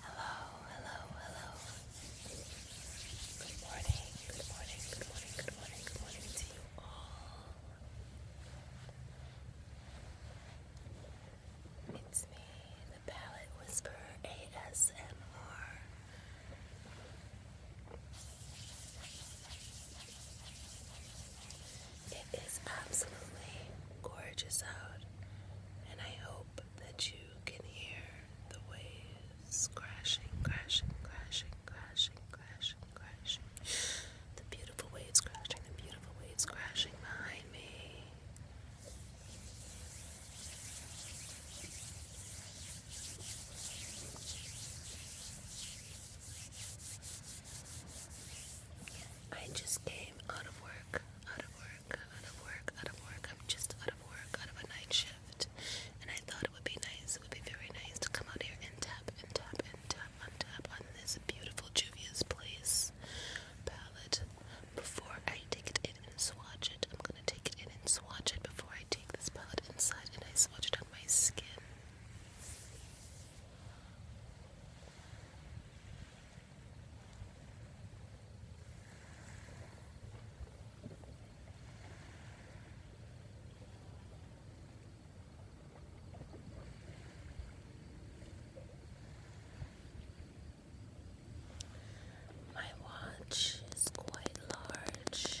Hello, hello, hello. Good morning, good morning, good morning, good morning, good morning to you all. It's me, the Palette Whisperer ASMR. It is absolutely gorgeous out, and I hope that you can hear the waves crashing, crashing, crashing, crashing, crashing, crashing. The beautiful waves crashing, the beautiful waves crashing behind me. I just came out of work, out of work, out of work, out of work. I'm just out of work, out of a night shift. And I thought it would be nice, it would be very nice to come out here and tap and tap and tap on tap on this beautiful Juvia's Place palette. Before I take it in and swatch it, I'm gonna take it in and swatch it before I take this palette inside and I swatch it on my skin. My watch is quite large.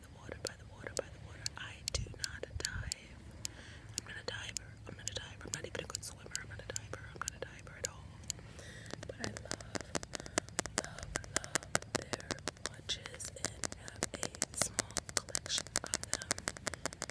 by the water, by the water, by the water. I do not dive. I'm not a diver. I'm not a diver. I'm not even a good swimmer. I'm not a diver. I'm not a diver at all. But I love, love, love their watches and have a small collection of them. I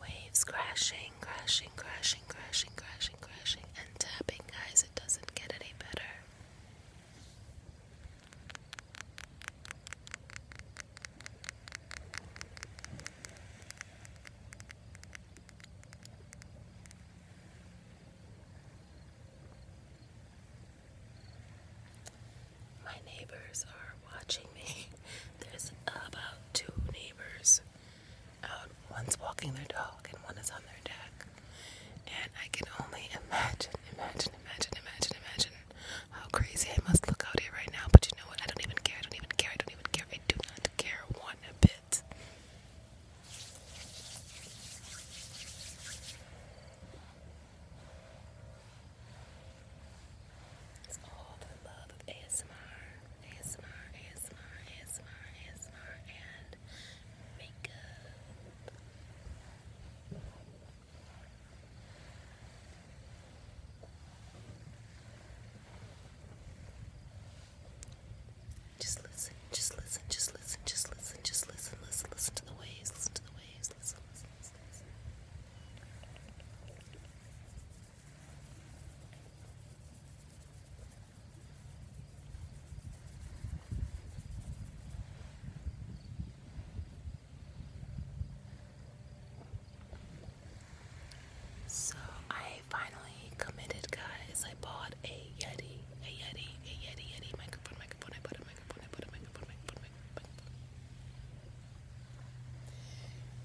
Waves crashing, crashing, crashing, crashing, crashing, crashing, and tapping, guys. It doesn't get any better. My neighbors are watching me. There's about two neighbors out. One's walking their dog and one is on their deck. And I can only imagine, imagine, imagine, imagine, imagine how crazy I must look out here right now. But you know what? I don't even care. I don't even care. I don't even care. I do not care one bit it. It's all the love of ASMR, ASMR, ASMR, ASMR, ASMR, and makeup. Just listen, just listen, just listen, just listen, just listen, listen, listen to the waves, listen to the waves, listen, listen, listen, listen. So I finally committed, guys. I bought a Yeti, a Yeti, a Yeti, Yeti microphone, microphone. I bought a microphone, I bought a microphone, microphone, microphone.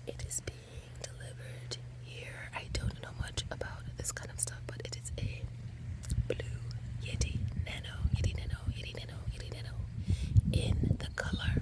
It is being delivered here. I don't know much about this kind of stuff, but it is a blue Yeti Nano, Yeti Nano, Yeti Nano, Yeti Nano in the color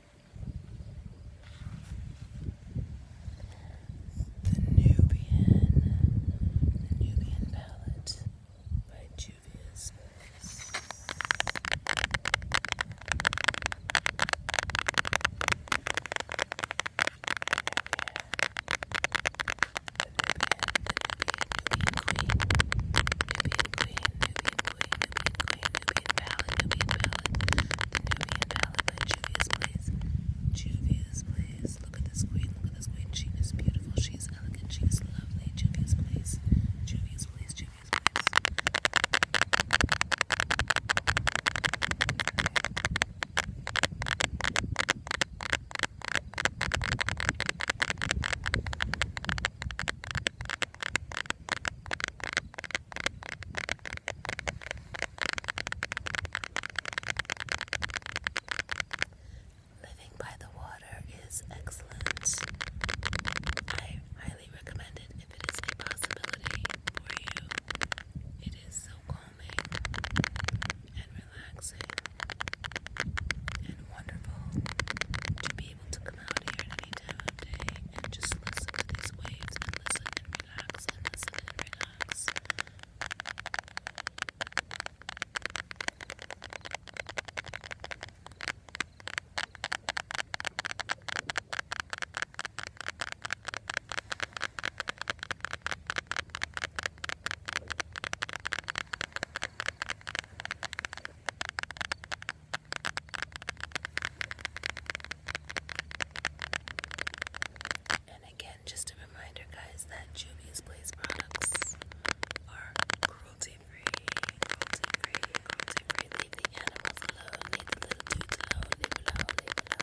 The Nubian, the Nubian Palette by Juvia's Space. The Nubian, the Nubian, Nubian Queen, Nubian Queen, Nubian Queen, Nubian Nubian Ballad, Nubian Ballad, the Nubian Ballad by Juvia's Place. Juvia's Place. Look at this queen, look at this queen. She is beautiful, she is elegant, she is lovely. Juvia's Place, Juvia's Place, Juvia's Place. Okay. Living by the water is excellent. I highly recommend it if it is a possibility for you. It is so calming and relaxing and wonderful to be able to come out here any time of day and just listen to these waves listen and relax listen and relax. And again, just a reminder, guys, that Juvia's Place products are cruelty free, cruelty free, cruelty free. Leave the animals alone, leave the little dudes alone, leave it alone, leave it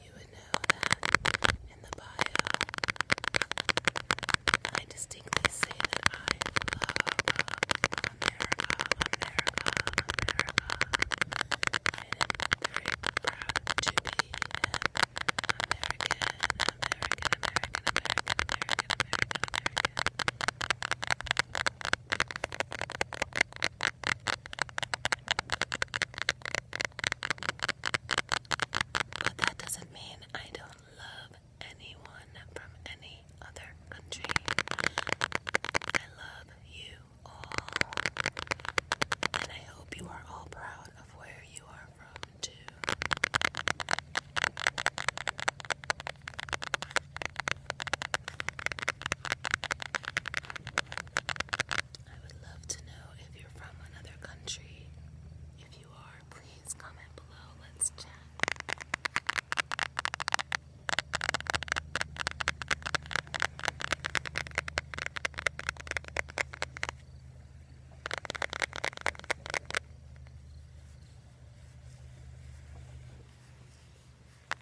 you would know that in the bio, I distinctly say that I love America, America, America. I am very proud to be an American, American, American, American, American, American, American. But that doesn't mean I don't love anyone from any other country. I love you all. And I hope you are all proud of where you are from, too. I would love to know if you're from another country. If you are, please comment below. Let's chat.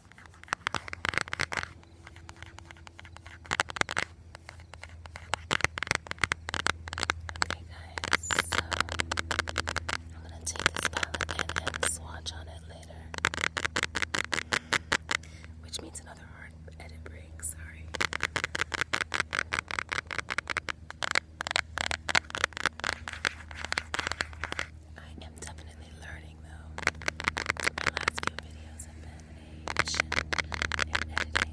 Okay, guys, I'm gonna take this palette and, swatch on it later, which means another hard edit break. Sorry. I am definitely learning though. My last few videos have been animation and editing.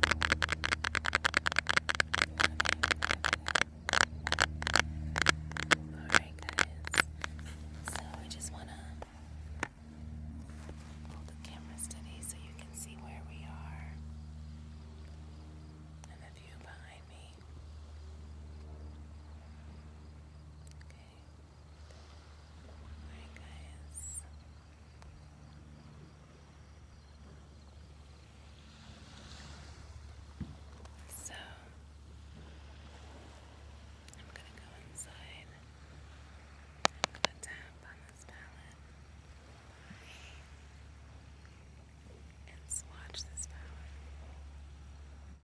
Alright guys. So I just wanna hold the camera steady so you can see where we are. And the view behind me. Okay. Alright, guys. So, I'm going to go inside. I'm going to tap on this palette and swatch this palette.